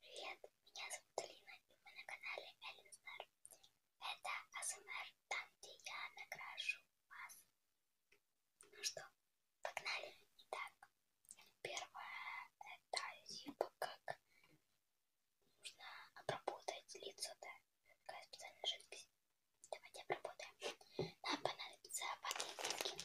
Привет, меня зовут Алина, и вы на канале Элинзар. Это АСМР, там, где я накрашу вас. Ну что, погнали. Итак, первое это типа как нужно обработать лицо, да? Такая специальная жидкость. Давайте обработаем. Нам понадобится пакетики.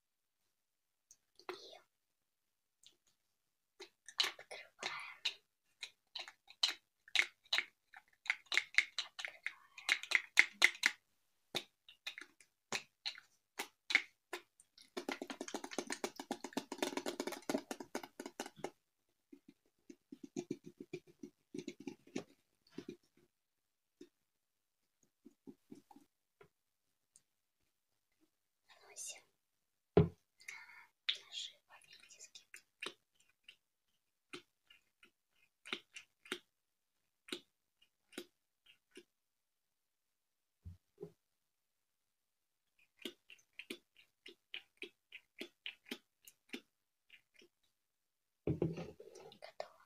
и открываем. Открываем наносим наши ванильки. Готово.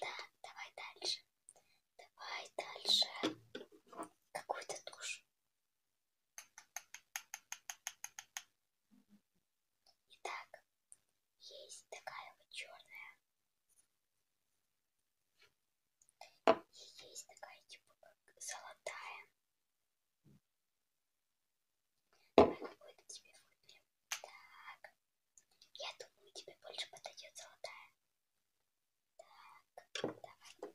Да, давай дальше. Давай дальше. Какую-то тушь. Итак, есть такая вот черная. И есть такая типа как золотая. Какой-то тебе выберем. Так. Я думаю, тебе больше подойдет золотая. Так, давай.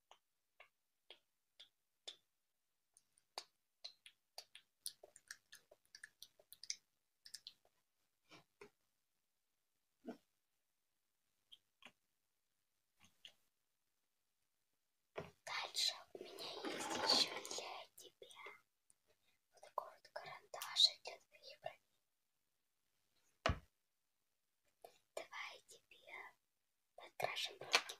Дальше у меня есть еще для тебя вот такой вот карандашик для твоих бровей. Давай тебе подкрашем руки.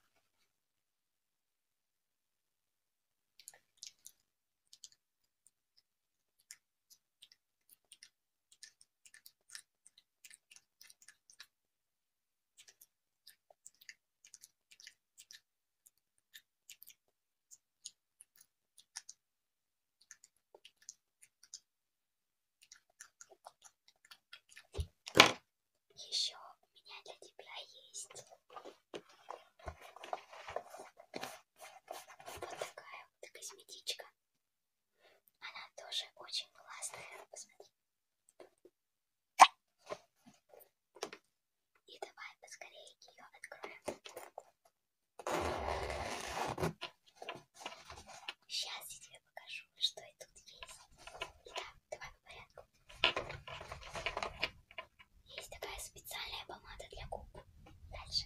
Еще у меня для тебя есть вот такая вот косметичка. Она тоже очень классная. Посмотри. И давай поскорее ее откроем. Сейчас я тебе покажу, что и тут есть. Итак, давай по порядку. Есть такая специальная помада для губ. Дальше.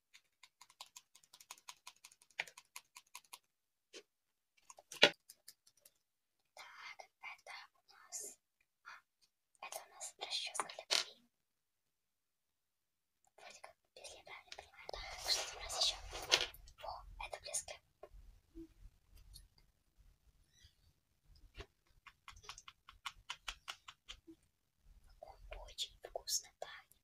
Так, это у нас... А, это у нас расческа для бровей. Вроде как, если я правильно понимаю. Так, что у нас еще? О, это блески. Он очень вкусно пахнет.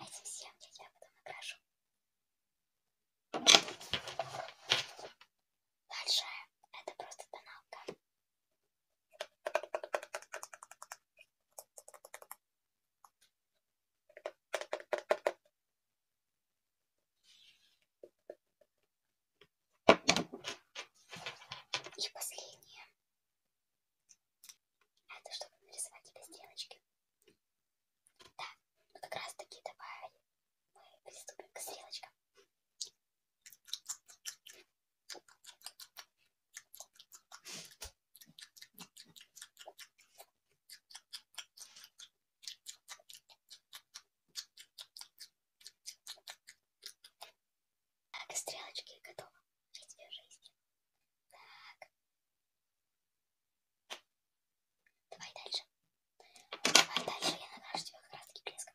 А эти семки я потом окрашу. Дальше это просто тоналка. И последнее. Это чтобы нарисовать эти стрелочки. Да, вот как раз таки давай мы приступим к стрелочкам. Так, стрелочки готовы жить свою жизнь. Так. Давай дальше. Давай дальше, я накрашу тебя как раз таки блеском.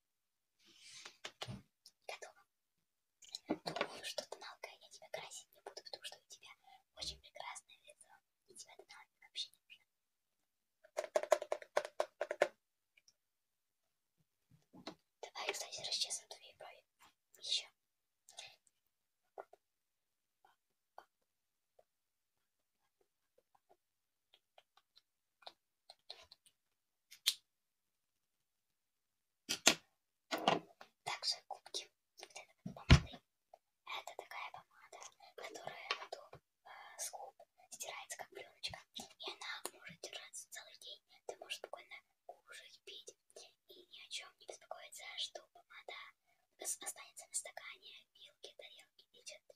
Готово. Думаю, что ты налкая, я тебя красить не буду, потому что у тебя очень прекрасное лицо. И тебя тоналка вообще не нужно. Давай, кстати, расчесываем твои брови. Еще. Также губки вот этой помады. Это такая помада, которая до, э, а, с губ стирается как пленочка. И она может держаться целый день. Ты можешь спокойно кушать, пить и ни о чем не беспокоиться, что помада останется на стакане, вилке, а тарелке и чем-то.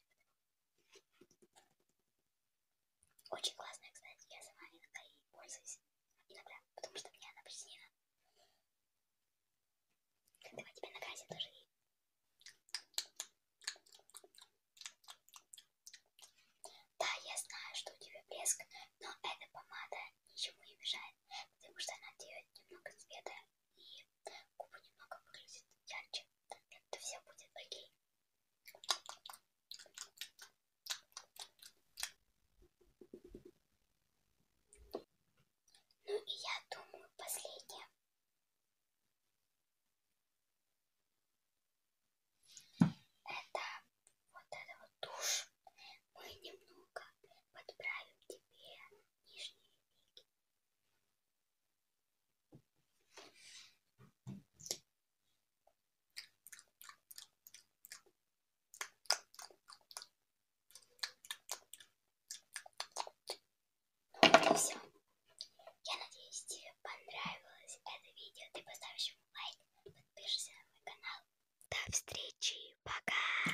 Очень классная, кстати, я сама иногда ей пользуюсь. Иногда, потому что мне она приснила. Давай тебе на газе тоже ей. Да, я знаю, что у тебя блеск, но эта помада ничему не мешает, потому что она дает немного цвета и губы немного выглядят ярче. Это все будет окей. Ну и я думаю, последнее. Это вот это вот тушь. Мы немного подправим тебе нижние веки. Вот и все. Я надеюсь, тебе понравилось это видео. Ты поставишь ему лайк, подпишешься на мой канал. До встречи. Пока.